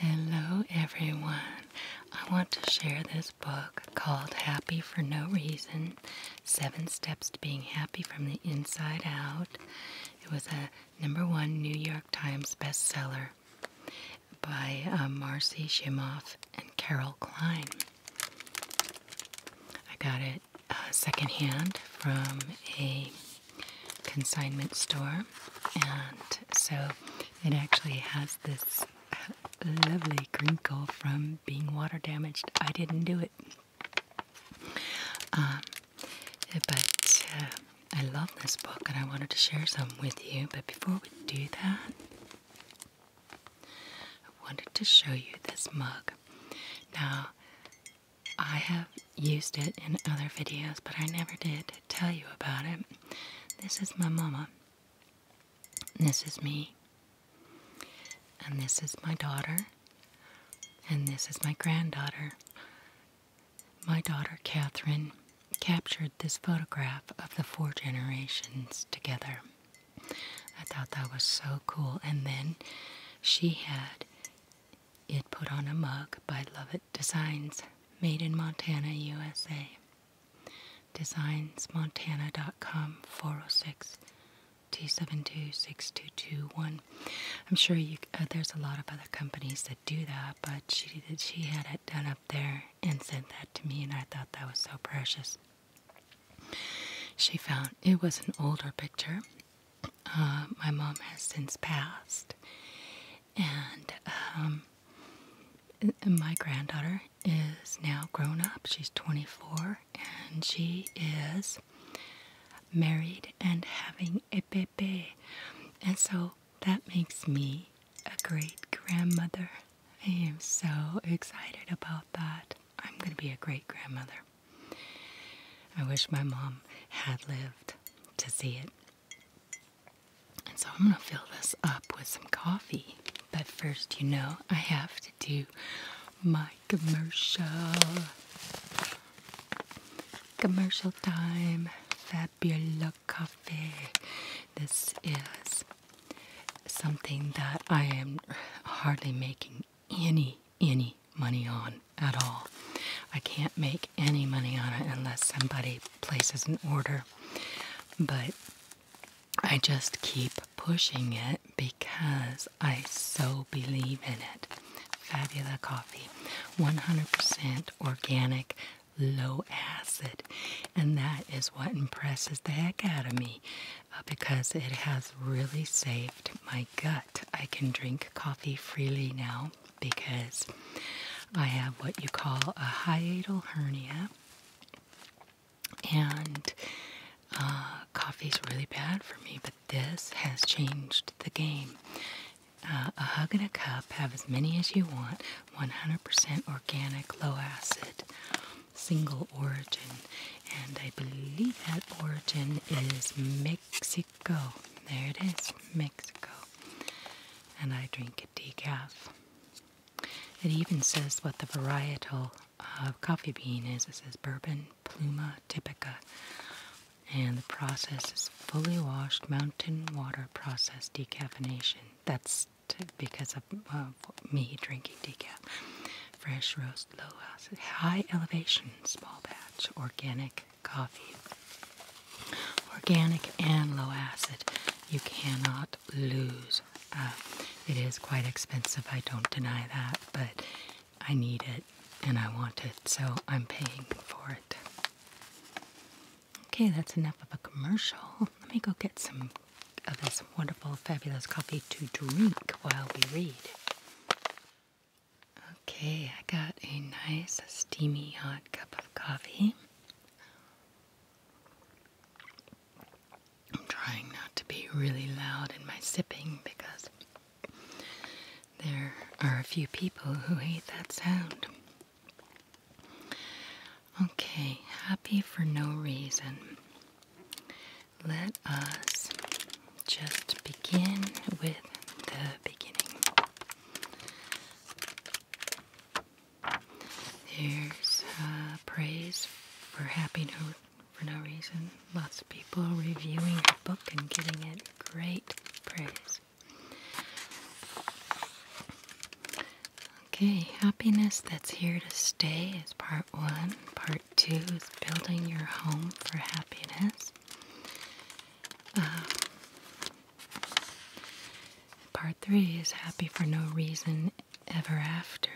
Hello, everyone. I want to share this book called Happy for No Reason Seven Steps to Being Happy from the Inside Out. It was a number one New York Times bestseller by uh, Marcy Shimoff and Carol Klein. I got it uh, secondhand from a consignment store, and so it actually has this uh, lovely grinkle from being water damaged. I didn't do it. Um, but uh, I love this book and I wanted to share some with you, but before we do that, I wanted to show you this mug. Now, I have used it in other videos, but I never did tell you about it. This is my mama. This is me. And this is my daughter. And this is my granddaughter. My daughter Catherine captured this photograph of the four generations together. I thought that was so cool. And then she had it put on a mug by Lovett Designs, made in Montana, USA. Designsmontana.com 406 272 I'm sure uh, there's a lot of other companies that do that, but she did, she had it done up there and sent that to me, and I thought that was so precious. She found it was an older picture. Uh, my mom has since passed, um, and my granddaughter is now grown up. She's 24, and she is married and having saying And so that makes me a great grandmother. I am so excited about that. I'm going to be a great grandmother. I wish my mom had lived to see it. And so I'm going to fill this up with some coffee. But first, you know, I have to do my commercial. Commercial time. Fabulous. Coffee. This is something that I am hardly making any, any money on at all. I can't make any money on it unless somebody places an order. But I just keep pushing it because I so believe in it. Fabula Coffee, 100% organic low acid, and that is what impresses the heck out of me uh, because it has really saved my gut. I can drink coffee freely now because I have what you call a hiatal hernia, and uh, coffee's really bad for me, but this has changed the game. Uh, a hug and a cup. Have as many as you want. 100% organic, low acid, single origin. And I believe that origin is Mexico. There it is, Mexico. And I drink it decaf. It even says what the varietal of coffee bean is. It says bourbon pluma typica. And the process is fully washed mountain water processed, decaffeination. That's because of uh, me drinking decaf. Fresh roast, low acid, high elevation, small batch, organic coffee. Organic and low acid. You cannot lose. Uh, it is quite expensive, I don't deny that, but I need it and I want it, so I'm paying for it. Okay, that's enough of a commercial. Let me go get some of this wonderful, fabulous coffee to drink while we read. Okay, I got a nice, steamy, hot cup of coffee. I'm trying not to be really loud in my sipping because there are a few people who hate that sound. Okay, happy for no reason. Let us just begin with the beginning. There's praise for happy no, for no reason. Lots of people reviewing the book and giving it great praise. Okay, happiness that's here to stay is part one. Part two is building your home for happiness. Uh, part three is happy for no reason ever after.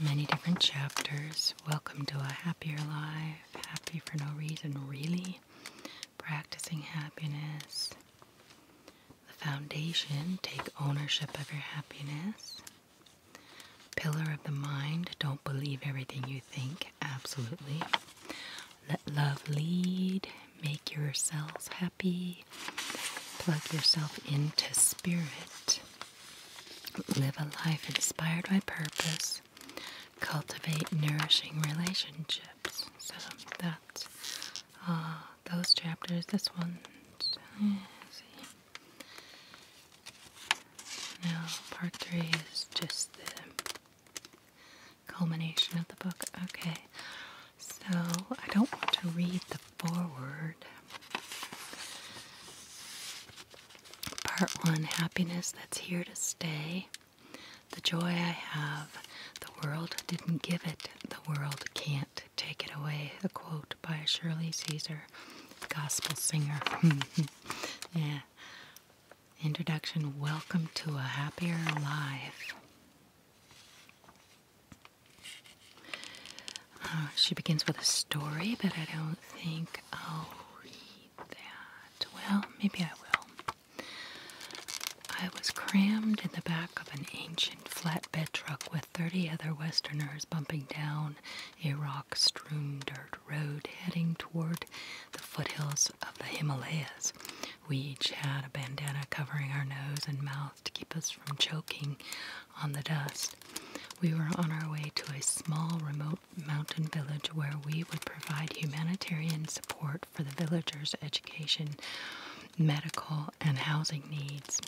Many different chapters. Welcome to a happier life. Happy for no reason, really practicing happiness. The foundation, take ownership of your happiness. Pillar of the mind, don't believe everything you think, absolutely. Let love lead, make yourselves happy, plug yourself into spirit, live a life inspired by purpose, cultivate nourishing relationships. So that's uh, those chapters. This one, now part three is just the culmination of the book. Okay, so I don't want to read the foreword. Part one Happiness That's Here to Stay. The joy I have, the world didn't give it, the world can't take it away. A quote by Shirley Caesar, gospel singer. yeah. Introduction Welcome to a Happier Life. Uh, she begins with a story, but I don't think I'll read well, maybe I will. I was crammed in the back of an ancient flatbed truck with 30 other Westerners bumping down a rock strewn dirt road heading toward the foothills of the Himalayas. We each had a bandana covering our nose and mouth to keep us from choking on the dust. We were on our way to a small remote mountain village where we would provide humanitarian support for the villagers' education, medical, and housing needs.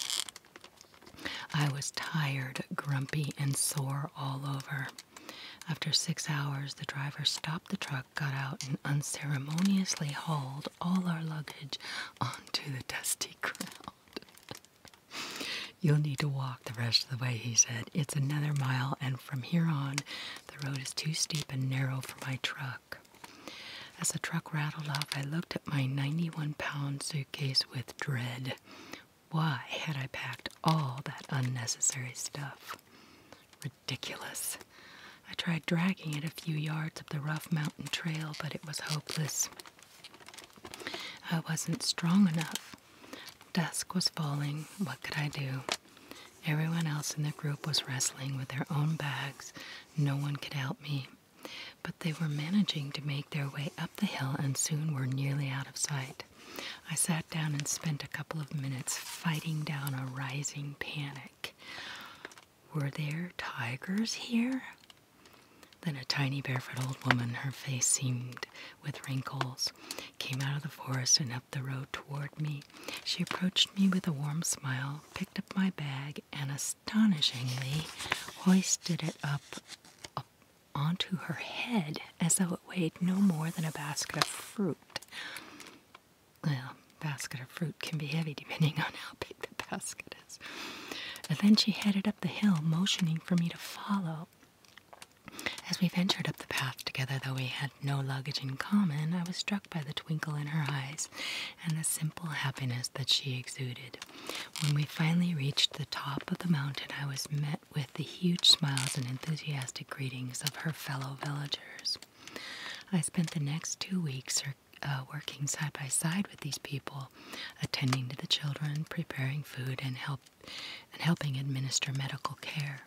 I was tired, grumpy, and sore all over. After six hours, the driver stopped the truck, got out, and unceremoniously hauled all our luggage onto the dusty ground. You'll need to walk the rest of the way, he said. It's another mile, and from here on, the road is too steep and narrow for my truck. As the truck rattled off, I looked at my 91 pound suitcase with dread. Why had I packed all that unnecessary stuff? Ridiculous. I tried dragging it a few yards up the rough mountain trail, but it was hopeless. I wasn't strong enough. Dusk was falling. What could I do? Everyone else in the group was wrestling with their own bags. No one could help me. But they were managing to make their way up the hill and soon were nearly out of sight. I sat down and spent a couple of minutes fighting down a rising panic. Were there tigers here? Then a tiny barefoot old woman, her face seamed with wrinkles, came out of the forest and up the road toward me. She approached me with a warm smile, picked up my bag, and astonishingly hoisted it up, onto her head as though it weighed no more than a basket of fruit. Well, basket of fruit can be heavy depending on how big the basket is. And then she headed up the hill, motioning for me to follow. As we ventured up the path together, though we had no luggage in common, I was struck by the twinkle in her eyes and the simple happiness that she exuded. When we finally reached the top of the mountain, I was met with the huge smiles and enthusiastic greetings of her fellow villagers. I spent the next two weeks uh, working side by side with these people, attending to the children, preparing food, and helping administer medical care.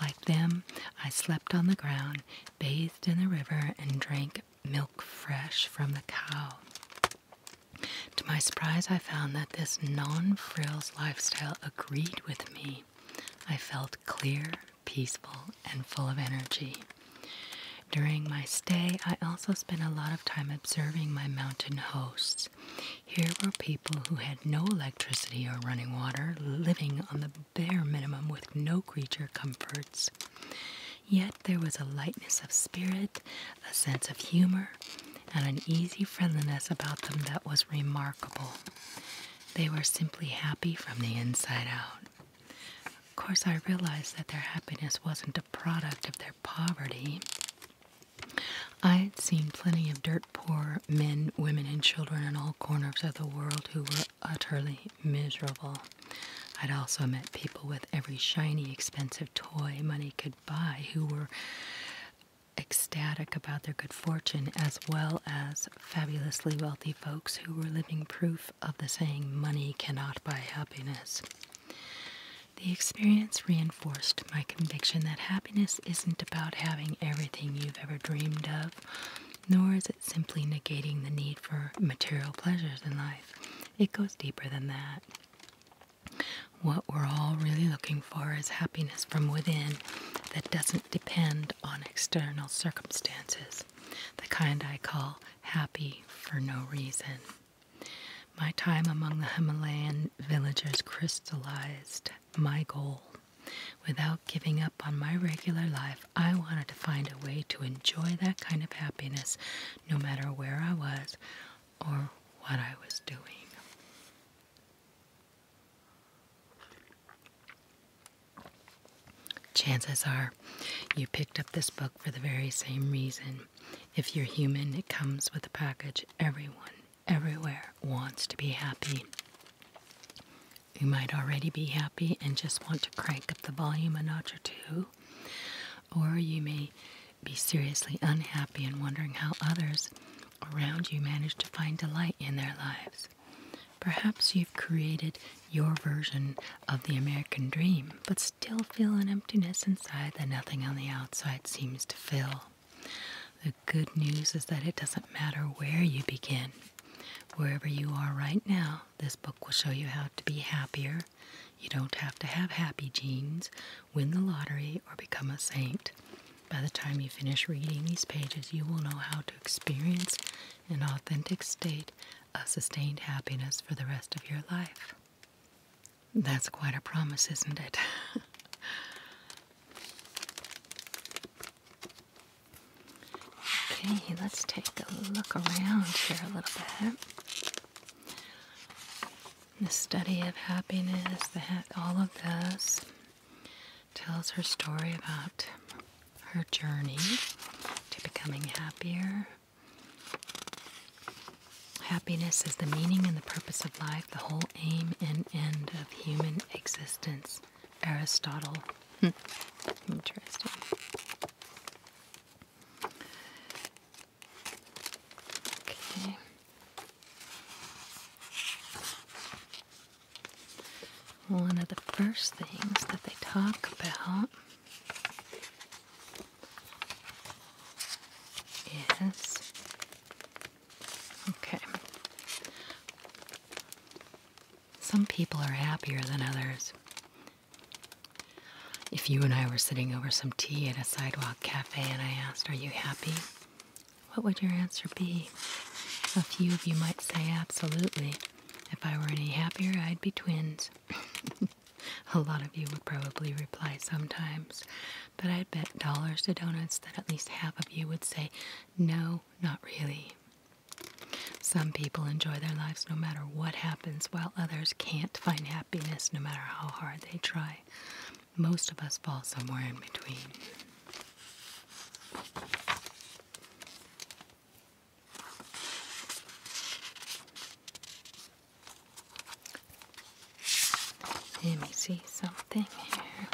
Like them, I slept on the ground, bathed in the river, and drank milk fresh from the cow. To my surprise, I found that this non frills lifestyle agreed with me. I felt clear, peaceful, and full of energy. During my stay, I also spent a lot of time observing my mountain hosts. Here were people who had no electricity or running water living on the bare minimum with no creature comforts. Yet there was a lightness of spirit, a sense of humor, and an easy friendliness about them that was remarkable. They were simply happy from the inside out. Of course, I realized that their happiness wasn't a product of their poverty. I had seen plenty of dirt poor men, women, and children in all corners of the world who were utterly miserable. I'd also met people with every shiny, expensive toy money could buy who were ecstatic about their good fortune, as well as fabulously wealthy folks who were living proof of the saying, money cannot buy happiness. The experience reinforced my conviction that happiness isn't about having everything you've ever dreamed of nor is it simply negating the need for material pleasures in life. It goes deeper than that. What we're all really looking for is happiness from within that doesn't depend on external circumstances, the kind I call happy for no reason. My time among the Himalayan villagers crystallized my goal. Without giving up on my regular life, I wanted to find a way to enjoy that kind of happiness no matter where I was or what I was doing. Chances are you picked up this book for the very same reason. If you're human, it comes with a package everyone everywhere wants to be happy. You might already be happy and just want to crank up the volume a notch or two, or you may be seriously unhappy and wondering how others around you manage to find delight in their lives. Perhaps you've created your version of the American dream, but still feel an emptiness inside that nothing on the outside seems to fill good news is that it doesn't matter where you begin. Wherever you are right now, this book will show you how to be happier. You don't have to have happy genes, win the lottery, or become a saint. By the time you finish reading these pages, you will know how to experience an authentic state of sustained happiness for the rest of your life. That's quite a promise, isn't it? Okay, let's take a look around here a little bit. The study of happiness, all of this tells her story about her journey to becoming happier. Happiness is the meaning and the purpose of life, the whole aim and end of human existence. Aristotle. Hmm. Interesting. Okay. One of the first things that they talk about is Okay. Some people are happier than others. If you and I were sitting over some tea at a sidewalk cafe and I asked, Are you happy? What would your answer be? A few of you might say, Absolutely. If I were any happier, I'd be twins. a lot of you would probably reply sometimes, but I'd bet dollars to donuts that at least half of you would say, No, not really. Some people enjoy their lives no matter what happens, while others can't find happiness no matter how hard they try. Most of us fall somewhere in between. Let me see something here.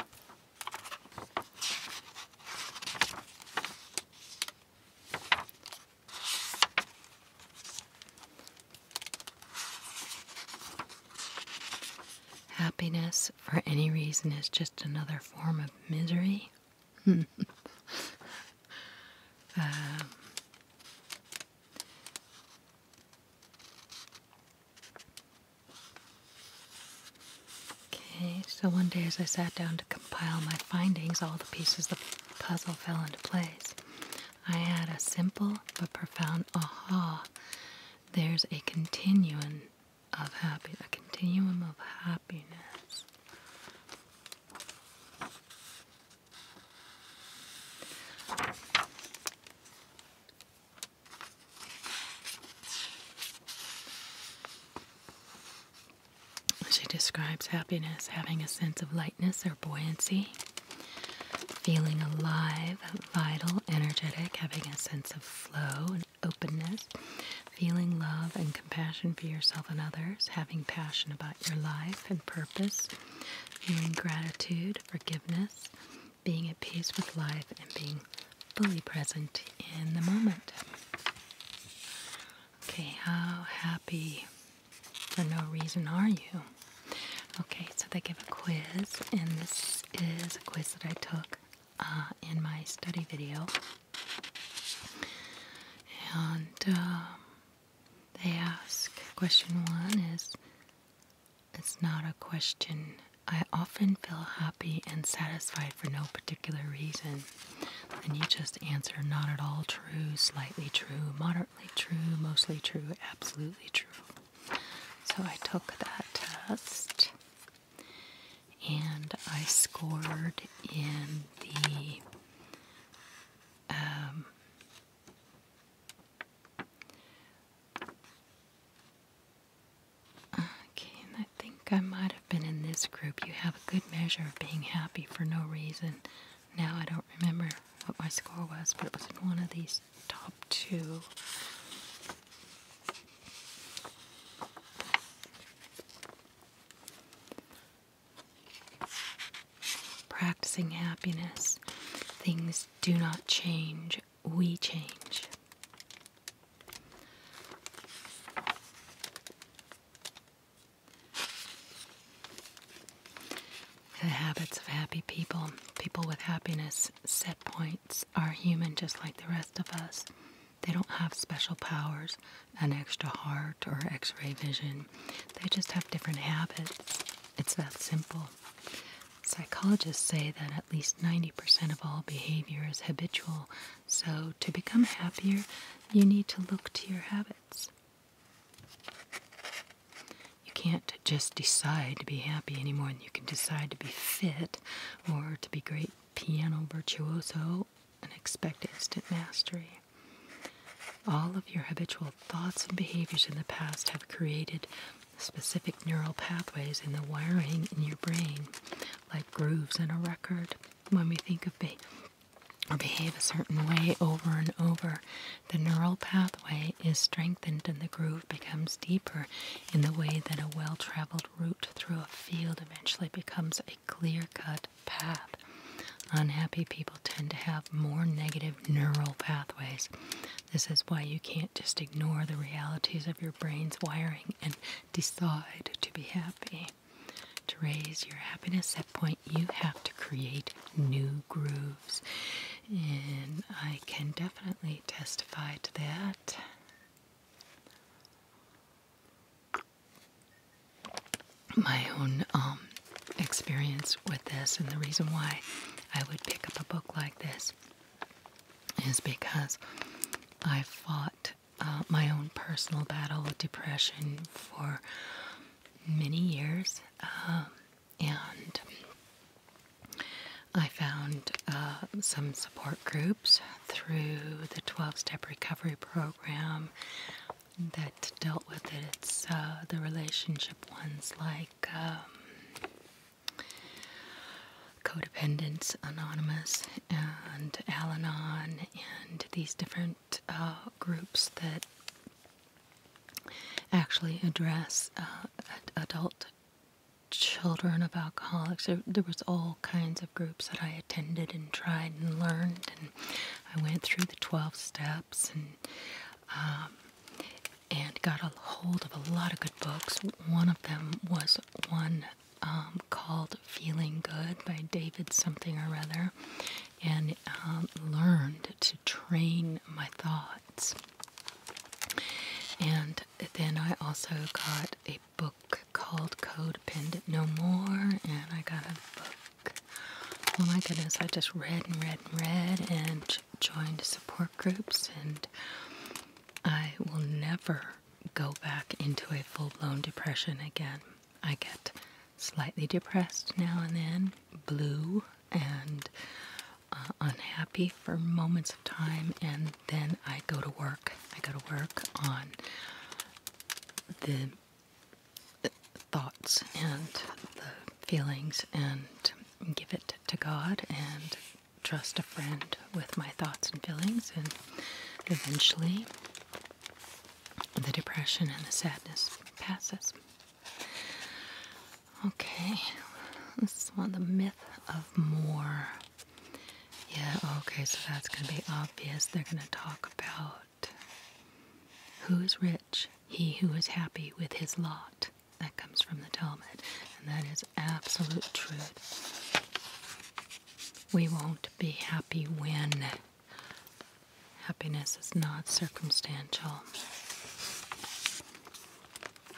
Happiness for any reason is just another form of misery. Um, Okay, so one day as I sat down to compile my findings, all the pieces of the puzzle fell into place. I had a simple but profound aha. There's a continuum of happy a continuum of happiness. She describes happiness having a sense of lightness or buoyancy, feeling alive, vital, energetic, having a sense of flow and openness, feeling love and compassion for yourself and others, having passion about your life and purpose, feeling gratitude, forgiveness, being at peace with life, and being fully present in the moment. Okay, how happy for no reason are you? Okay, so they give a quiz, and this is a quiz that I took uh, in my study video. And um, they ask question one is it's not a question I often feel happy and satisfied for no particular reason. and you just answer not at all true, slightly true, moderately true, mostly true, absolutely true. So I took that test and I scored in the um, Okay, I think I might have been in this group. You have a good measure of being happy for no reason. Now I don't remember what my score was, but it was one of these top two. Practicing happiness. Things do not change we change. The habits of happy people, people with happiness set points, are human just like the rest of us. They don't have special powers, an extra heart, or x ray vision. They just have different habits. It's that simple. Psychologists say that at least 90% of all behavior is habitual so, to become happier, you need to look to your habits. You can't just decide to be happy any more than you can decide to be fit or to be great piano virtuoso and expect instant mastery. All of your habitual thoughts and behaviors in the past have created specific neural pathways in the wiring in your brain like grooves in a record. When we think of be or behave a certain way over and over, the neural pathway is strengthened and the groove becomes deeper in the way that a well traveled route through a field eventually becomes a clear cut path. Unhappy people tend to have more negative neural pathways. This is why you can't just ignore the realities of your brain's wiring decide to be happy. To raise your happiness set point, you have to create new grooves. And I can definitely testify to that. My own um, experience with this, and the reason why I would pick up a book like this is because I fought uh, my own personal battle with depression for many years, um, and I found uh, some support groups through the 12 step recovery program that dealt with it. It's uh, the relationship ones like. Um, Codependents Anonymous and Al Anon and these different uh, groups that actually address uh, adult children of alcoholics there, was all kinds of groups that i attended and tried and learned and i went through the 12 steps and um, and got a hold of a lot of good books one of them was one um, called Feeling Good by David something or other, and um, learned to train my thoughts. And then I also got a book called Codependent No More, and I got a book. Oh my goodness, I just read and read and read and joined support groups, and I will never go back into a full blown depression again. I get slightly depressed now and then, blue and uh, unhappy for moments of time, and then I go to work. I go to work on the thoughts and the feelings and give it to God and trust a friend with my thoughts and feelings, and eventually the depression and the sadness passes. Okay, this is one of the myth of more. Yeah, okay, so that's going to be obvious. They're going to talk about who is rich, he who is happy with his lot. That comes from the Talmud, and that is absolute truth. We won't be happy when happiness is not circumstantial.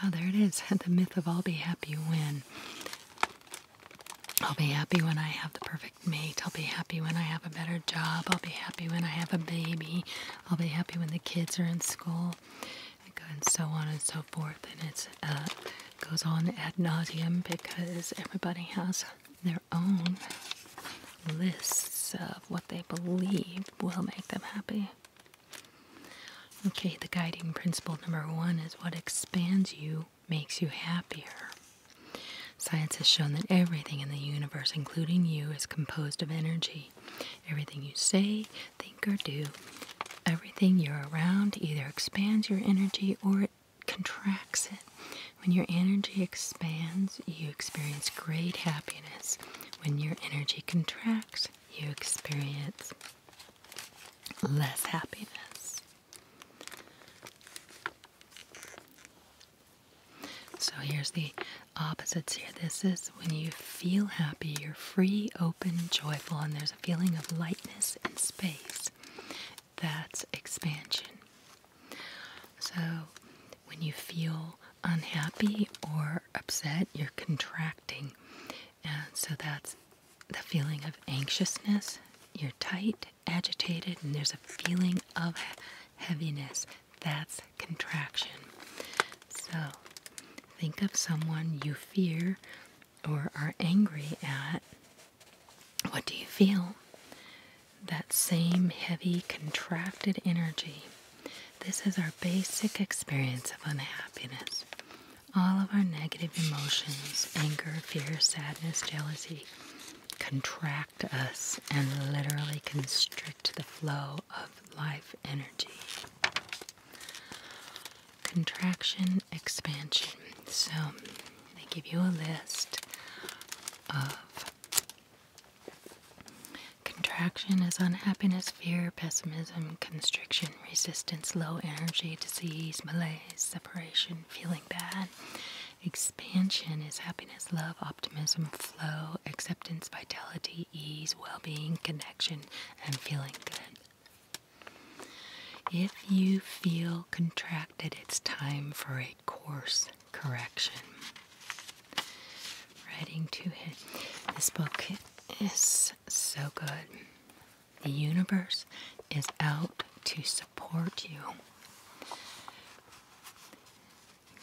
Oh, there it is. The myth of I'll be happy when. I'll be happy when I have the perfect mate. I'll be happy when I have a better job. I'll be happy when I have a baby. I'll be happy when the kids are in school and so on and so forth. And it uh, goes on ad nauseum because everybody has their own lists of what they believe will make them happy. Okay, the guiding principle number one is what expands you makes you happier. Science has shown that everything in the universe, including you, is composed of energy. Everything you say, think, or do everything you're around either expands your energy or it contracts it. When your energy expands, you experience great happiness. When your energy contracts, you experience less happiness. So here's the opposites here. This is when you feel happy, you're free, open, joyful, and there's a feeling of lightness and space. That's expansion. So when you feel unhappy or upset, you're contracting. And so that's the feeling of anxiousness. You're tight, agitated, and there's a feeling of heaviness. That's contraction. So think of someone you fear or are angry at, what do you feel? That same heavy, contracted energy. This is our basic experience of unhappiness. All of our negative emotions, anger, fear, sadness, jealousy, contract us and literally constrict the flow of life energy contraction, expansion. So I give you a list contraction is unhappiness, fear, pessimism, constriction, resistance, low energy, disease, malaise, separation, feeling bad. Expansion is happiness, love, optimism, flow, acceptance, vitality, ease, well being, connection, and feeling good. If you feel contracted, it's time for a course correction. Writing to hit. This book is so good. The universe is out to support you.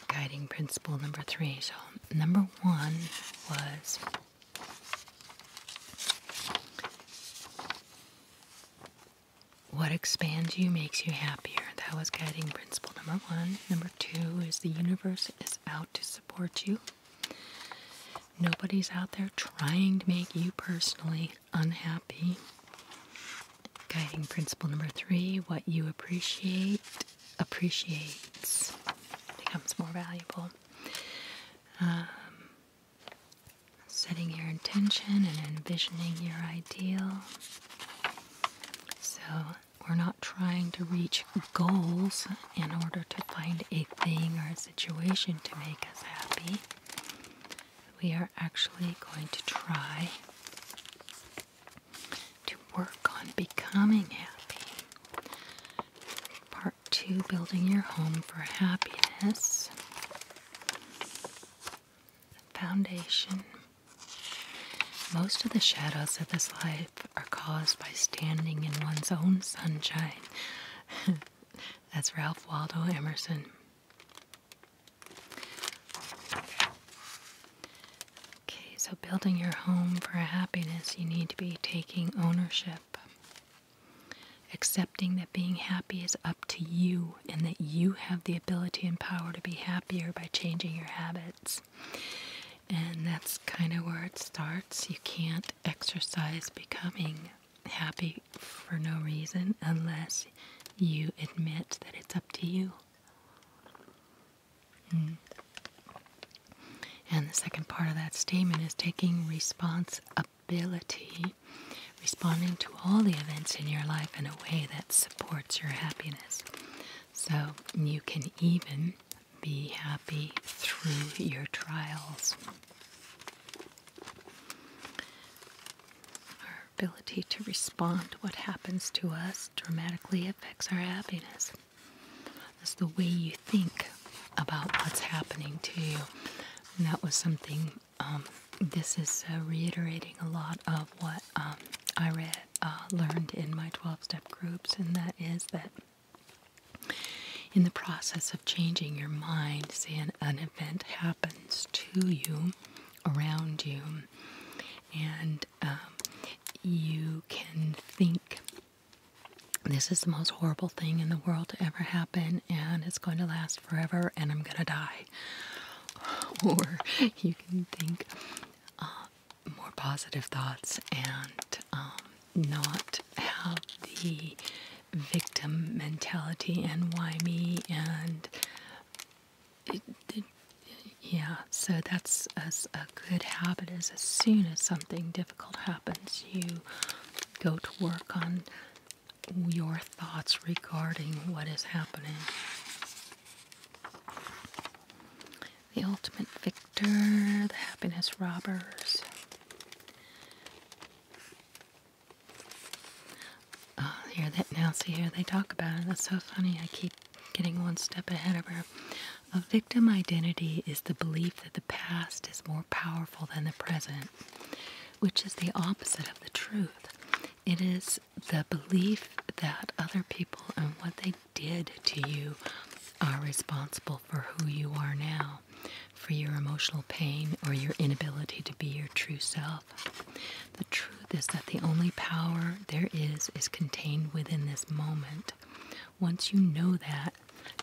Guiding principle number three. So, number one was what expands you makes you happier. That was guiding principle number one. Number two is the universe is out to support you. Nobody's out there trying to make you personally unhappy. Guiding principle number three what you appreciate appreciates, becomes more valuable. Um, setting your intention and envisioning your ideal. So, we're not trying to reach goals in order to find a thing or a situation to make us happy. We are actually going to try to work on becoming happy. Part two Building Your Home for Happiness. Foundation. Most of the shadows of this life are caused by standing in one's own sunshine. That's Ralph Waldo Emerson. Okay, so building your home for happiness, you need to be taking ownership. Accepting that being happy is up to you and that you have the ability and power to be happier by changing your habits. And that's kind of where it starts. You can't exercise becoming happy for no reason unless you admit that it's up to you. Hmm. And the second part of that statement is taking responsibility ability, responding to all the events in your life in a way that supports your happiness. So you can even be happy through your trials. Our ability to respond to what happens to us dramatically affects our happiness. It's the way you think about what's happening to you. And that was something, um, this is uh, reiterating a lot of what um, I read, uh, learned in my 12 step groups, and that is that in the process of changing your mind, say an, an event happens to you, around you, and um, you can think this is the most horrible thing in the world to ever happen, and it's going to last forever, and I'm going to die. Or you can think uh, more positive thoughts and um, not have the victim mentality and why me and yeah so that's a good habit is as soon as something difficult happens you go to work on your thoughts regarding what is happening. The ultimate victor, the happiness robbers. Uh, oh, here that Nancy here they talk about it. That's so funny. I keep getting one step ahead of her. A victim identity is the belief that the past is more powerful than the present, which is the opposite of the truth. It is the belief that other people and what they did to you are responsible for who you are now, for your emotional pain or your inability to be your true self. The truth is that the only power there is is contained within this moment. Once you know that,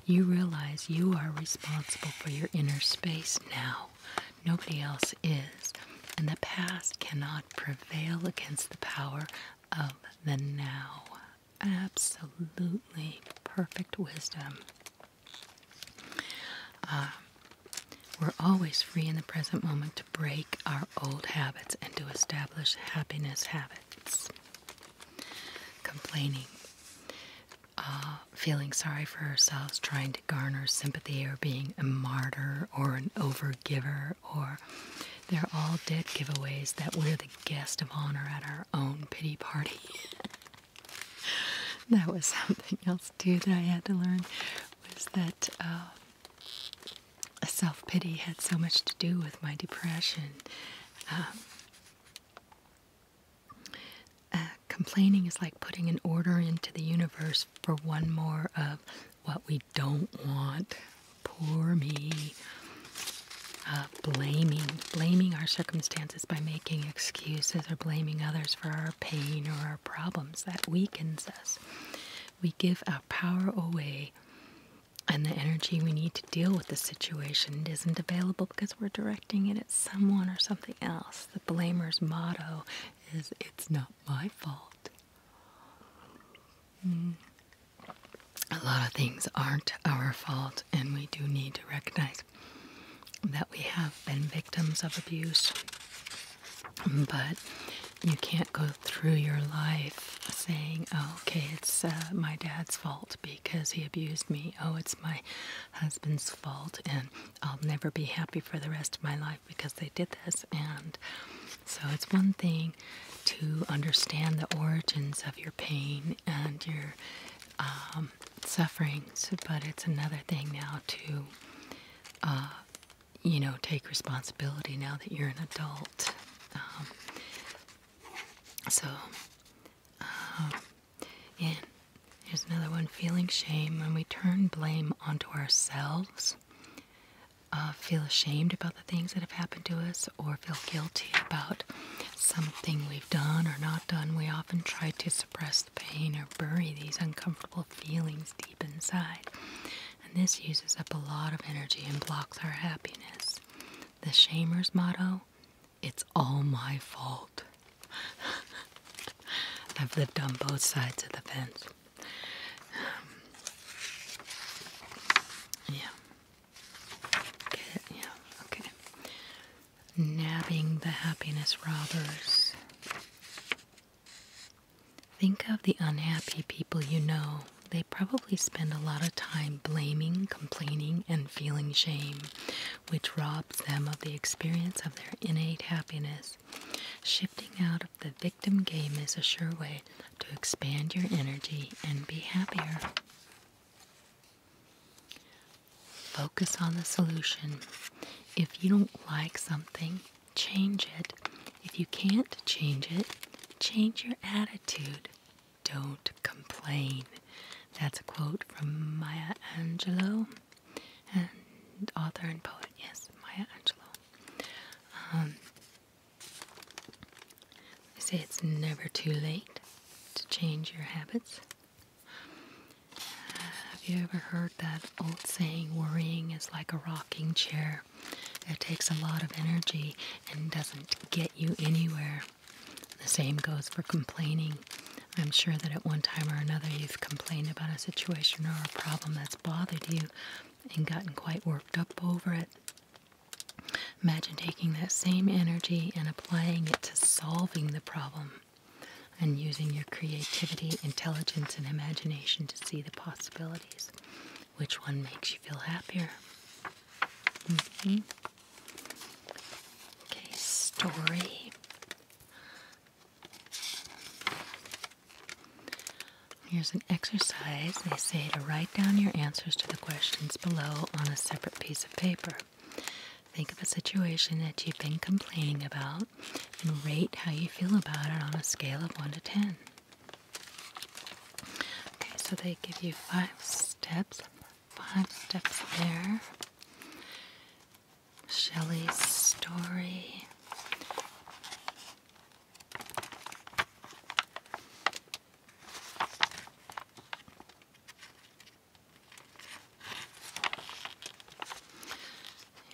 you realize you are responsible for your inner space now. Nobody else is. And the past cannot prevail against the power of the now. Absolutely perfect wisdom. Um, we're always free in the present moment to break our old habits and to establish happiness habits. Complaining. Uh, feeling sorry for ourselves, trying to garner sympathy, or being a martyr or an overgiver, or they're all dead giveaways that we're the guest of honor at our own pity party. that was something else too that I had to learn was that uh, self pity had so much to do with my depression. Um, uh, complaining is like putting an order into the universe for one more of what we don't want. Poor me. Uh, blaming, blaming our circumstances by making excuses or blaming others for our pain or our problems. That weakens us. We give our power away and the energy we need to deal with the situation isn't available because we're directing it at someone or something else. The blamer's motto is it's not my fault. Hmm. A lot of things aren't our fault, and we do need to recognize that we have been victims of abuse. But you can't go through your life saying, oh, okay, it's uh, my dad's fault because he abused me. Oh, it's my husband's fault, and I'll never be happy for the rest of my life because they did this. And so it's one thing to understand the origins of your pain and your um, sufferings, but it's another thing now to. Uh, you know, take responsibility now that you're an adult. Um, so, uh, and here's another one feeling shame. When we turn blame onto ourselves, uh, feel ashamed about the things that have happened to us, or feel guilty about something we've done or not done, we often try to suppress the pain or bury these uncomfortable feelings deep inside. And this uses up a lot of energy and blocks our happiness. The shamer's motto it's all my fault. I've lived on both sides of the fence. Um, yeah. Yeah, okay. Nabbing the happiness robbers. Think of the unhappy people you know. They probably spend a lot of time blaming, complaining, and feeling shame which robs them of the experience of their innate happiness. Shifting out of the victim game is a sure way to expand your energy and be happier. Focus on the solution. If you don't like something, change it. If you can't change it, change your attitude don't complain. That's a quote from Maya Angelou, and author and poet, yes, Maya Angelou. Um, they say it's never too late to change your habits. Have you ever heard that old saying, worrying is like a rocking chair? It takes a lot of energy and doesn't get you anywhere. The same goes for complaining. I'm sure that at one time or another you've complained about a situation or a problem that's bothered you and gotten quite worked up over it. Imagine taking that same energy and applying it to solving the problem and using your creativity, intelligence, and imagination to see the possibilities. Which one makes you feel happier? Mm-hmm. Okay, story. Here's an exercise. They say to write down your answers to the questions below on a separate piece of paper. Think of a situation that you've been complaining about and rate how you feel about it on a scale of 1 to 10. Okay, so they give you five steps five steps there. Shelley's story.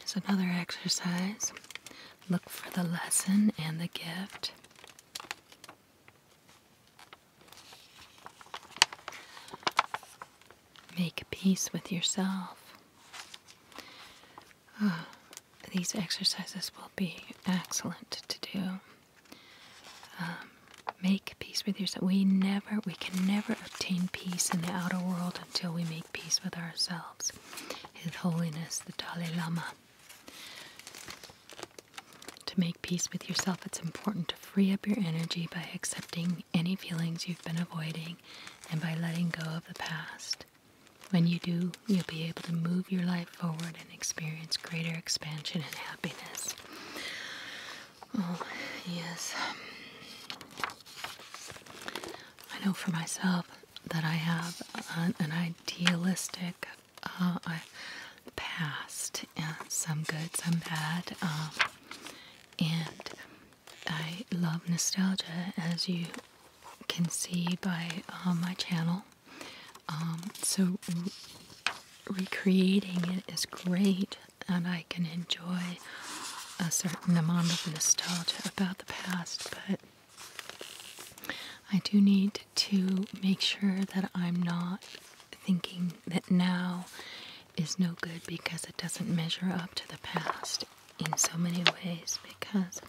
Here's another exercise. Look for the lesson and the gift. Make peace with yourself. Oh, these exercises will be excellent to do. Um, make peace with yourself. We never, we can never obtain peace in the outer world until we make peace with ourselves. His Holiness the Dalai Lama to make peace with yourself, it's important to free up your energy by accepting any feelings you've been avoiding and by letting go of the past. When you do, you'll be able to move your life forward and experience greater expansion and happiness. Oh, yes. I know for myself that I have an, idealistic, uh, past, some good, some bad. Um, and I love nostalgia, as you can see by uh, my channel. Um, so recreating it is great, and I can enjoy a certain amount of nostalgia about the past, but I do need to make sure that I'm not thinking that now is no good because it doesn't measure up to the past in so many ways because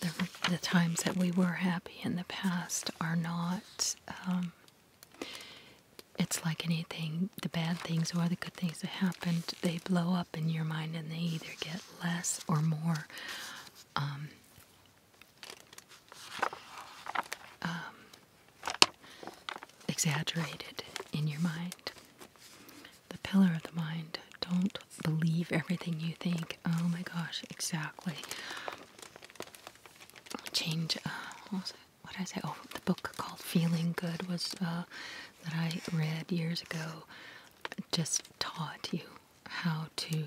the, times that we were happy in the past are not um, it's like anything the bad things or the good things that happened they blow up in your mind and they either get less or more um, um, exaggerated in your mind. The pillar of the mind. Don't believe everything you think. Oh my gosh, exactly. Change. Uh, what, did I say? Oh, the book called Feeling Good was uh, that I read years ago. Just taught you how to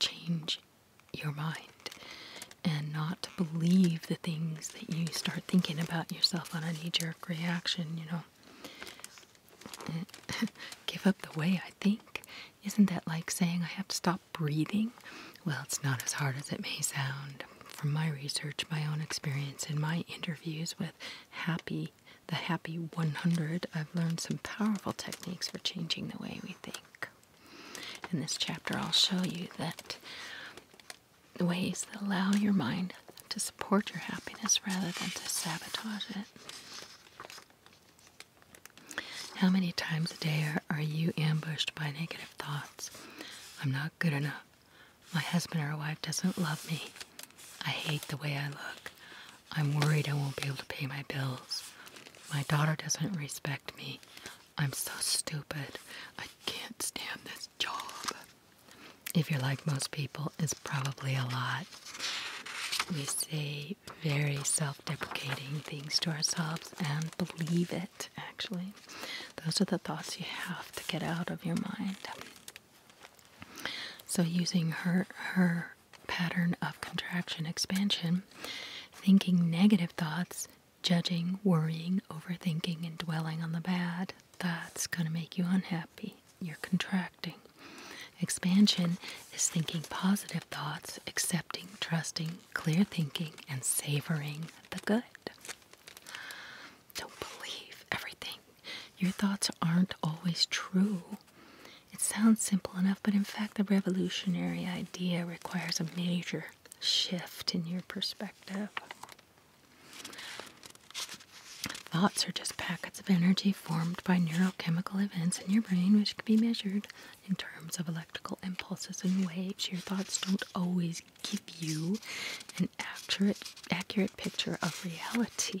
change your mind and not believe the things that you start thinking about yourself on a knee jerk reaction, you know. Give up the way I think. Isn't that like saying I have to stop breathing? Well, it's not as hard as it may sound. From my research, my own experience, and my interviews with happy, the happy 100, I've learned some powerful techniques for changing the way we think. In this chapter, I'll show you that ways that allow your mind to support your happiness rather than to sabotage it. How many times a day are, are you ambushed by negative thoughts? I'm not good enough. My husband or wife doesn't love me. I hate the way I look. I'm worried I won't be able to pay my bills. My daughter doesn't respect me. I'm so stupid. I can't stand this job. If you're like most people, it's probably a lot. We say very self deprecating things to ourselves and believe it, actually. Those are the thoughts you have to get out of your mind. So, using her, her pattern of contraction expansion, thinking negative thoughts judging, worrying, overthinking, and dwelling on the bad, that's going to make you unhappy. You're contracting. Expansion is thinking positive thoughts, accepting, trusting, clear thinking, and savoring the good. Don't believe everything. Your thoughts aren't always true. It sounds simple enough, but in fact, the revolutionary idea requires a major shift in your perspective. Thoughts are just packets of energy formed by neurochemical events in your brain, which can be measured in terms of electrical impulses and waves. Your thoughts don't always give you an accurate, accurate picture of reality,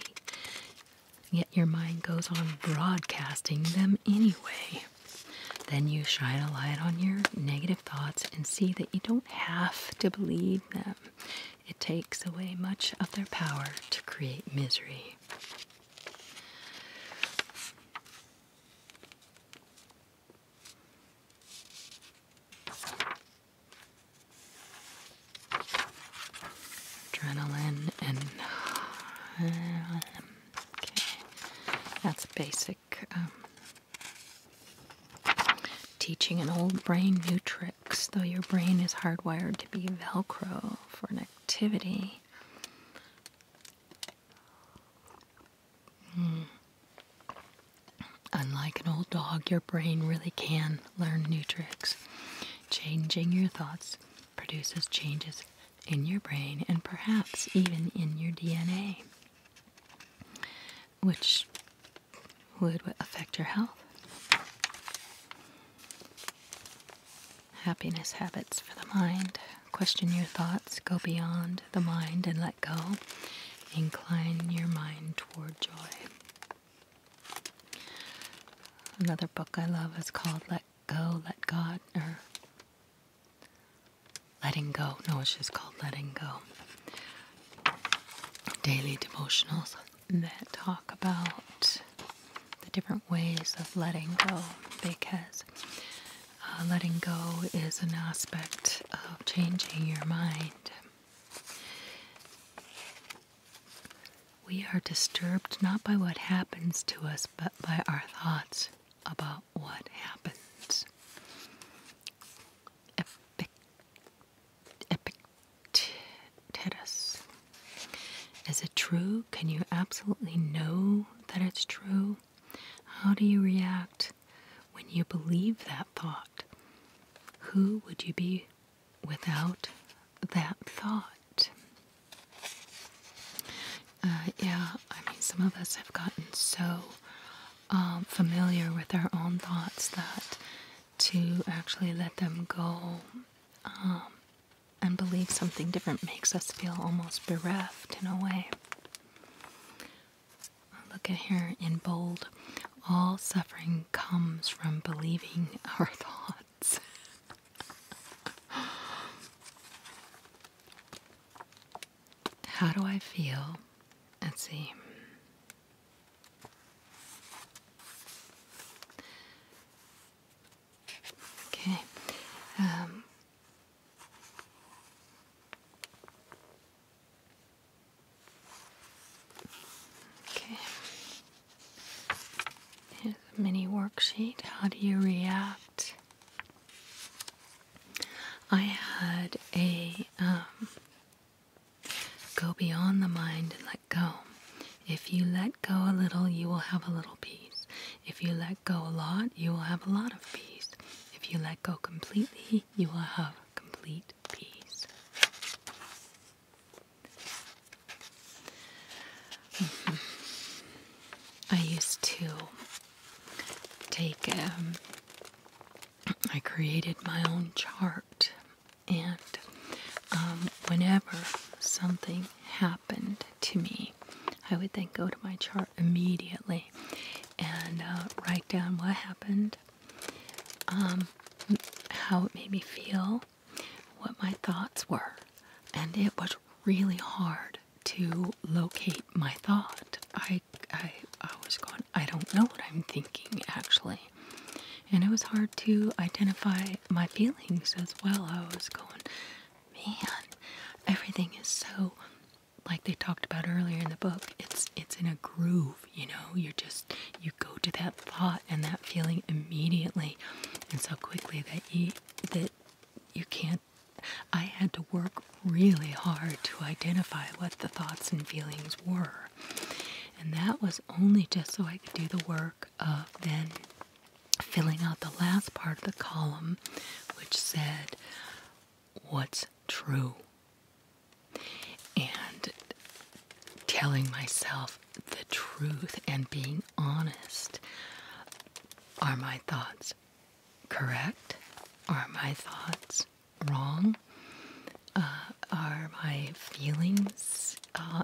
yet your mind goes on broadcasting them anyway. Then you shine a light on your negative thoughts and see that you don't have to believe them. It takes away much of their power to create misery. Adrenaline and. okay. That's basic. Um, teaching an old brain new tricks. Though your brain is hardwired to be Velcro for an activity. Hmm. Unlike an old dog, your brain really can learn new tricks. Changing your thoughts produces changes in your brain and perhaps even in your DNA, which would affect your health. Happiness habits for the mind. Question your thoughts, go beyond the mind and let go. Incline your mind toward joy. Another book I love is called Let Go, Let God, or Letting go. No, it's just called Letting Go. Daily devotionals that talk about the different ways of letting go because uh, letting go is an aspect of changing your mind. We are disturbed not by what happens to us, but by our thoughts about what happens. Epic, Epictetus. Is it true? Can you absolutely know that it's true? How do you react when you believe that thought? Who would you be without that thought? Uh, yeah, I mean, some of us have gotten so um, familiar with our own thoughts that to actually let them go um, and believe something different makes us feel almost bereft in a way. Look at here in bold. All suffering comes from believing our thoughts. How do I feel? Let's see. Okay. Um. okay. Here's a mini worksheet. How do you react I had a um, go beyond the mind and let go. If you let go a little, you will have a little peace. If you let go a lot, you will have a lot of peace. If you let go completely, you will have complete peace. I used to take um, I created my own chart, and um, whenever something happened to me, I would then go to my chart immediately and uh, write down what happened, um, how it made me feel, what my thoughts were, and it was really hard to locate my thought. I, I, I was going, I don't know what I'm thinking actually. And it was hard to identify my feelings as well. I was going, man, everything is so, like they talked about earlier in the book, it's, it's in a groove, you know, you're just, you go to that thought and that feeling immediately and so quickly that you, that you can't. I had to work really hard to identify what the thoughts and feelings were. And that was only just so I could do the work of then filling out the last part of the column, which said, What's true? And telling myself the truth and being honest are my thoughts correct? Are my thoughts wrong? Uh, are my feelings? Uh,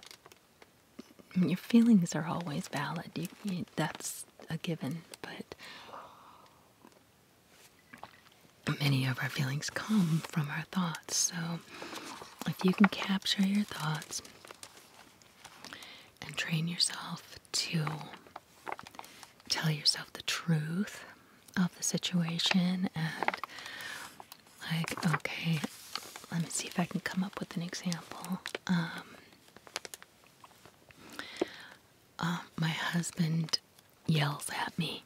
your feelings are always valid. that's a given, but many of our feelings come from our thoughts. So if you can capture your thoughts and train yourself to tell yourself the truth of the situation and, like, okay, let me see if I can come up with an example. Um, um my husband yells at me.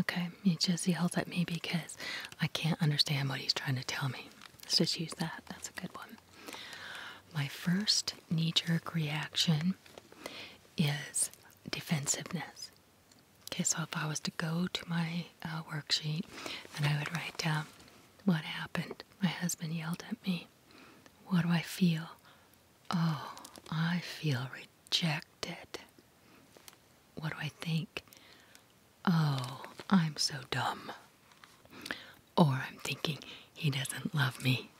Okay, he just yells at me because I can't understand what he's trying to tell me. Let's just use that. That's a good one. My first knee jerk reaction is defensiveness. Okay, so if I was to go to my uh, worksheet, then I would write down what happened. My husband yelled at me. What do I feel? Oh, I feel rejected. What do I think? Oh, I'm so dumb or I'm thinking he doesn't love me.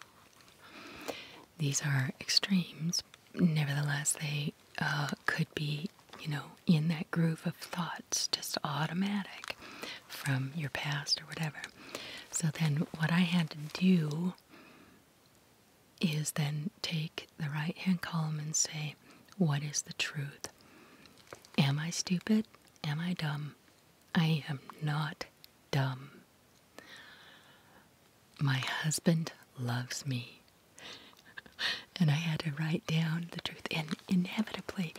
These are extremes. Nevertheless, they uh, could be, you know, in that groove of thoughts, just automatic from your past or whatever. So then, what I had to do is then take the right hand column and say, What is the truth? Am I stupid? Am I dumb? I am not dumb. My husband loves me. and I had to write down the truth. And inevitably,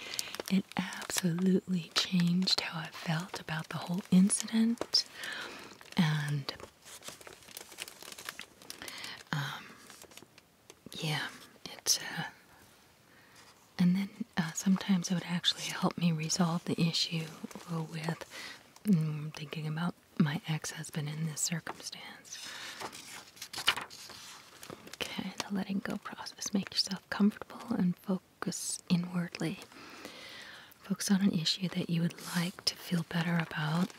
it absolutely changed how I felt about the whole incident. And um, yeah, it's uh, and then uh, sometimes it would actually help me resolve the issue with mm, thinking about my ex husband in this circumstance. Okay, the letting go process. Make yourself comfortable and focus inwardly. Focus on an issue that you would like to feel better about.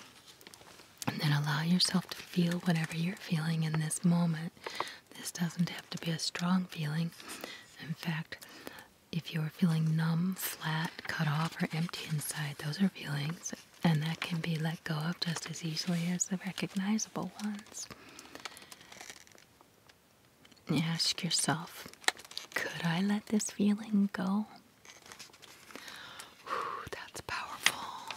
And then allow yourself to feel whatever you're feeling in this moment. This doesn't have to be a strong feeling. In fact, if you're feeling numb, flat, cut off, or empty inside, those are feelings, and that can be let go of just as easily as the recognizable ones. Ask yourself, could I let this feeling go? that's powerful.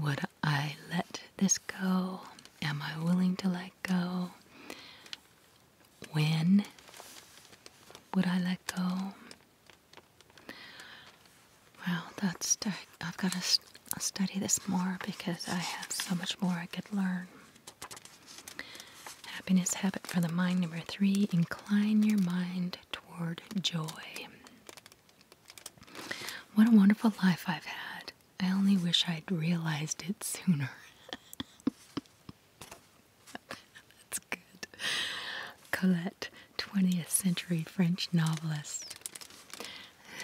Would I let this go? Am I willing to let go? When would I let go? Well, that's I've got to study this more because I have so much more I could learn. Happiness habit for the mind number three: incline your mind toward joy. What a wonderful life I've had. I only wish I'd realized it sooner. That's good. Colette, 20th century French novelist.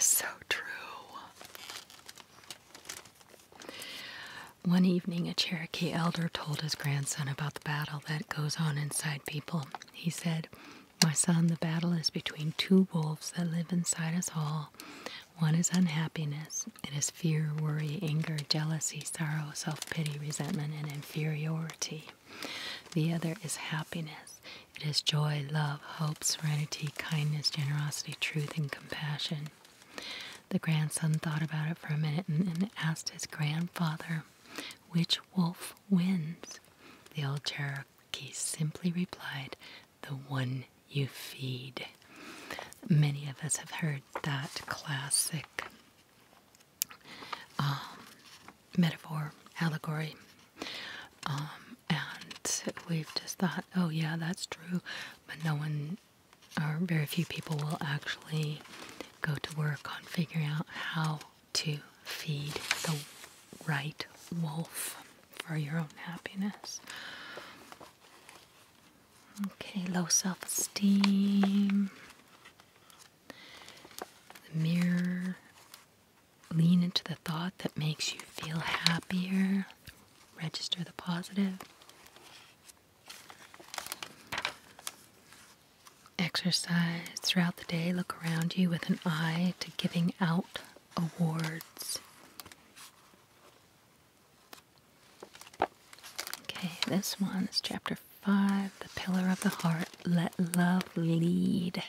So true. One evening, a Cherokee elder told his grandson about the battle that goes on inside people. He said, my son, the battle is between two wolves that live inside us all. One is unhappiness. It is fear, worry, anger, jealousy, sorrow, self pity, resentment, and inferiority. The other is happiness. It is joy, love, hope, serenity, kindness, generosity, truth, and compassion. The grandson thought about it for a minute and, and asked his grandfather, Which wolf wins? The old Cherokee simply replied, the one you feed. Many of us have heard that classic um, metaphor, allegory, um, and we've just thought, oh, yeah, that's true, but no one or very few people will actually go to work on figuring out how to feed the right wolf for your own happiness. Okay, low self esteem. The mirror. Lean into the thought that makes you feel happier. Register the positive. Exercise throughout the day. Look around you with an eye to giving out awards. Okay, this one's chapter 5 The Pillar of the Heart. Let love lead.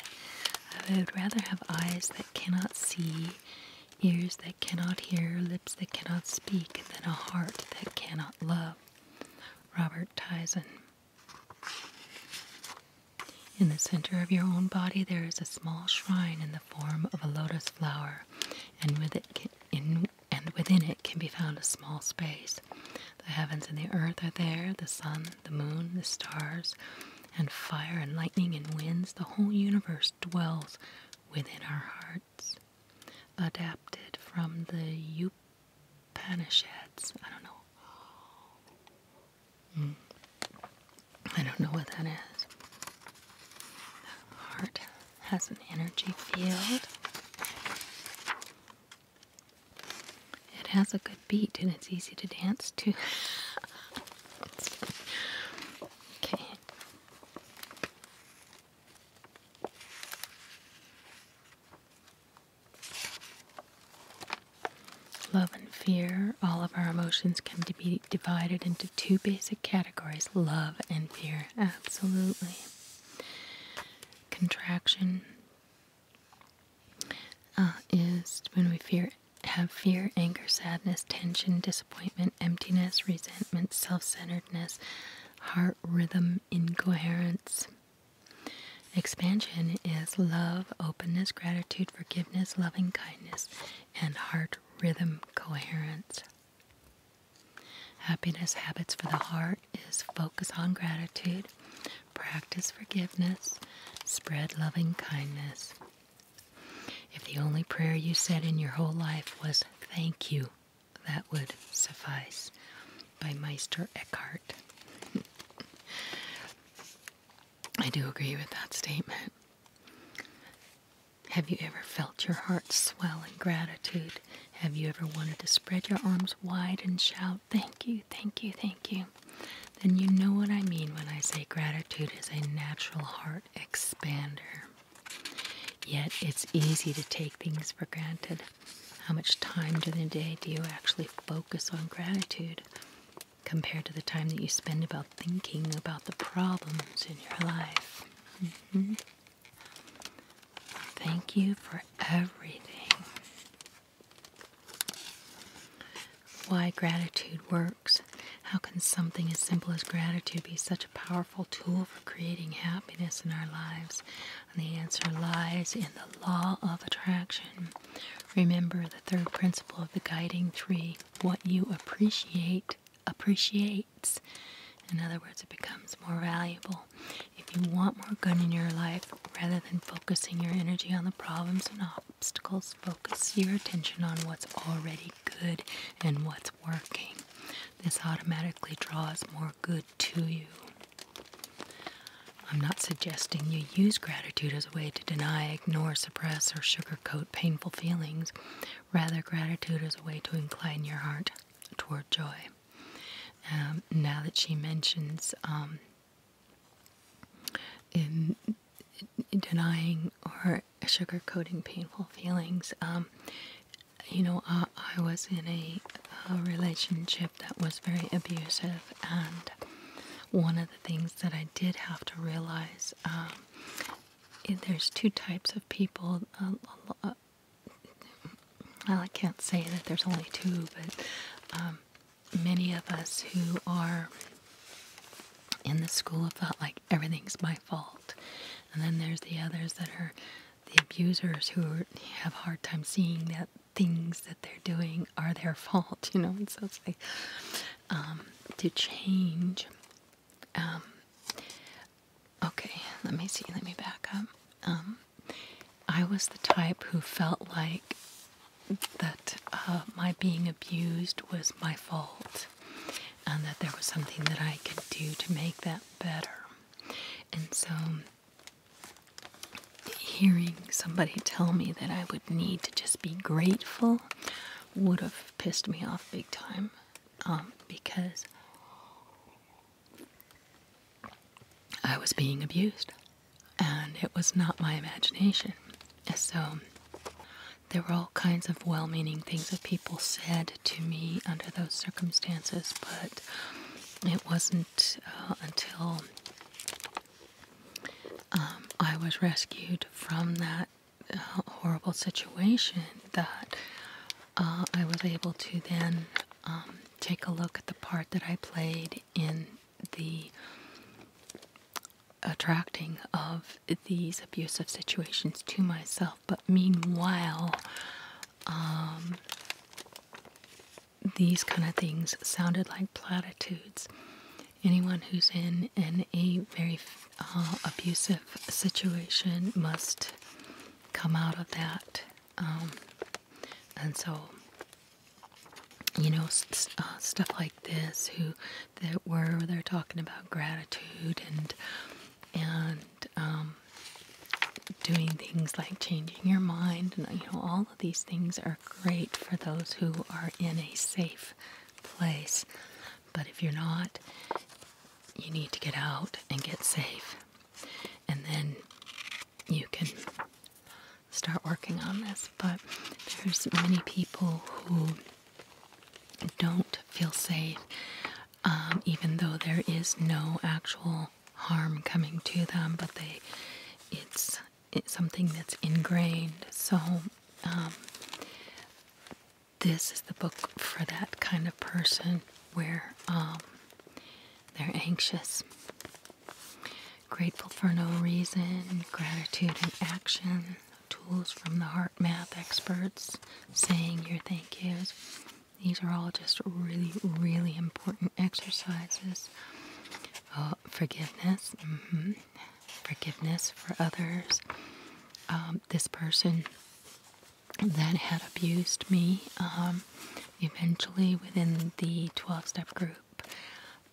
I would rather have eyes that cannot see, ears that cannot hear, lips that cannot speak, than a heart that cannot love. Robert Tyson. In the center of your own body, there is a small shrine in the form of a lotus flower, and with it in, and within it can be found a small space. The heavens and the earth are there, the sun, the moon, the stars, and fire and lightning and winds. The whole universe dwells within our hearts. Adapted from the Upanishads. I don't know. Hmm. I don't know what that is. heart has an energy field. It has a good beat and it's easy to dance to. okay. Love and fear. All of our emotions can be divided into two basic categories love and fear. Absolutely. Contraction uh, is when we fear have fear, anger, sadness, tension, disappointment, emptiness, resentment, self centeredness, heart rhythm, incoherence. Expansion is love, openness, gratitude forgiveness, loving kindness, and heart rhythm coherence. Happiness habits for the heart is focus on gratitude, practice forgiveness, spread loving kindness. If the only prayer you said in your whole life was thank you, that would suffice by Meister Eckhart. I do agree with that statement. Have you ever felt your heart swell in gratitude? Have you ever wanted to spread your arms wide and shout, Thank you, thank you, thank you? Then you know what I mean when I say gratitude is a natural heart expander. Yet it's easy to take things for granted. How much time during the day do you actually focus on gratitude? compared to the time that you spend about thinking about the problems in your life. Mm-hmm. Thank you for everything. Why gratitude works. How can something as simple as gratitude be such a powerful tool for creating happiness in our lives? And the answer lies in the law of attraction. Remember the third principle of the guiding tree what you appreciate appreciates. In other words, it becomes more valuable. If you want more good in your life, rather than focusing your energy on the problems and obstacles, focus your attention on what's already good and what's working. This automatically draws more good to you. I'm not suggesting you use gratitude as a way to deny, ignore, suppress or sugarcoat painful feelings. Rather, gratitude is a way to incline your heart toward joy. Um, now that she mentions um, in denying or sugarcoating painful feelings, um, you know, I, was in a, a relationship that was very abusive, and one of things that I did have to realize. Um, there's two types of people. well, I can't say that there's only two, but um, many of us who are in the school of thought like everything's my fault. And then there's the others that are the abusers who have a hard time seeing that things that they're doing are their fault, you know. And so it's like, um, to change. Um, okay, let me see. Let me back up. Um, I was the type who felt like that uh, my being abused was my fault and that there was something that I could do to make that better. And so, hearing somebody tell me that I would need to just be grateful would have pissed me off big time um, because I was being abused and it was not my imagination. So there were all kinds of well meaning things that people said to me under those circumstances, but it wasn't uh, until um, I was rescued from that uh, horrible situation that uh, I was able to then um, take a look at the part that I played in the attracting of these abusive situations to myself. But meanwhile, um, these kind of things sounded like platitudes anyone who's in in a very uh, abusive situation must come out of that um, and so you know uh, stuff like this who that were they're talking about gratitude and and um, doing things like changing your mind you know all of these things are great for those who are in a safe place. But if you're not, you need to get out and get safe. And then you can start working on this. But there's many people who don't feel safe, um, even though there is no actual harm coming to them, but they it's something that's ingrained. So, um, this is the book for that kind of person where um, they're anxious, grateful for no reason, gratitude in action, tools from the heart math experts, saying your thank yous. These are all just really, really important exercises. Uh, forgiveness. Mm-hmm forgiveness for others. Um, this person that had abused me um, eventually within the 12 step group,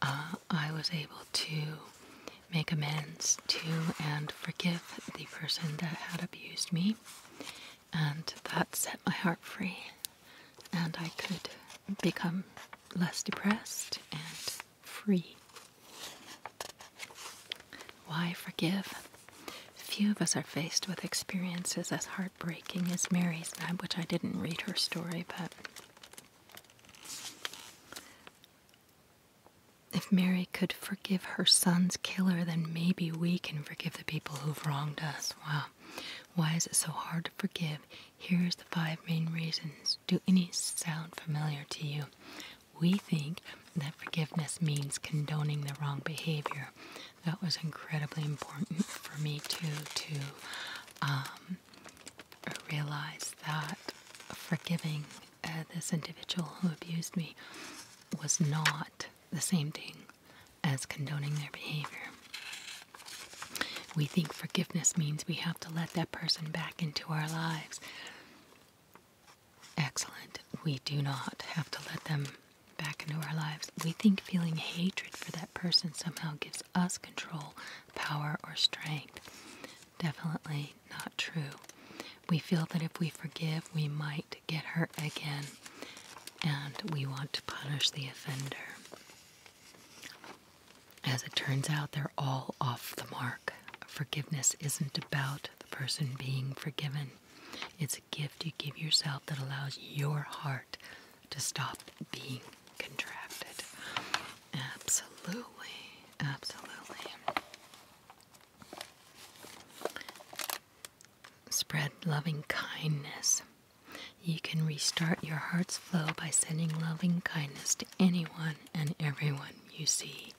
uh, I was able to make amends to and forgive the person that had abused me. And that set my heart free, and I could become less depressed and free. Why forgive? Few of us are faced with experiences as heartbreaking as Mary's, which I didn't read her story, but if Mary could forgive her son's killer, then maybe we can forgive the people who've wronged us. Wow. Why is it so hard to forgive? Here's the five main reasons. Do any sound familiar to you? We think that forgiveness means condoning the wrong behavior. That was incredibly important for me too to um, realize that forgiving uh, this individual who abused me was not the same thing as condoning their behavior. We think forgiveness means we have to let that person back into our lives. Excellent. We do not have to let them back into our lives. We think feeling hatred for that person somehow gives us control, power, or strength. Definitely not true. We feel that if we forgive, we might get hurt again, and we want to punish the offender. As it turns out, they're all off the mark. Forgiveness isn't about the person being forgiven, it's a gift you give yourself that allows your heart to stop being contracted. Absolutely, absolutely. Spread loving kindness. You can restart your heart's flow by sending loving kindness anyone and everyone you see.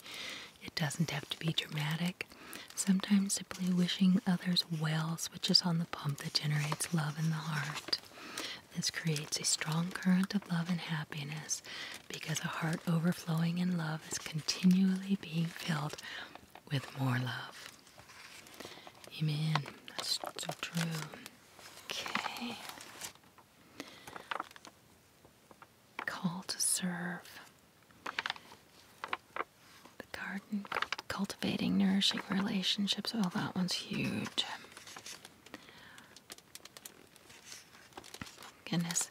It doesn't have to be dramatic. Sometimes simply wishing others well switches on the pump that generates love in the heart. This creates a strong current of love and happiness because a heart overflowing in love is continually being filled with more love. Amen. That's so true. Okay. Call to serve. The garden, cultivating nourishing relationships. Oh, that one's huge. Goodness,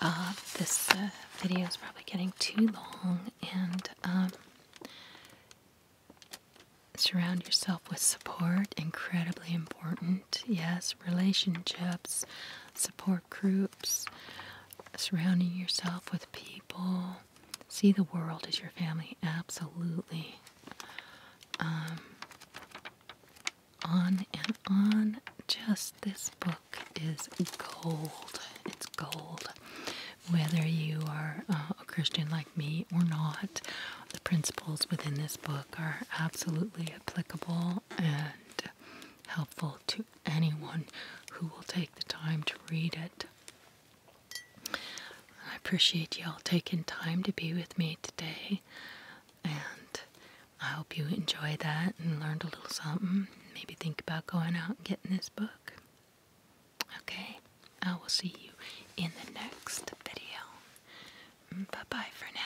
uh, this uh, video is probably getting too long, and um, surround yourself with support, incredibly important. Yes, relationships, support groups, surrounding yourself with people. See the world as your family, absolutely. Um, on and on. Just this book is gold. It's gold. Whether you are uh, a Christian like me or not, the principles within this book are absolutely applicable and helpful to anyone who will take the time to read it. I appreciate y'all taking time to be with me today, and I hope you enjoy that and learned a little something. Maybe think about going out and getting this book. Okay, I will see you in the next video. Bye bye for now.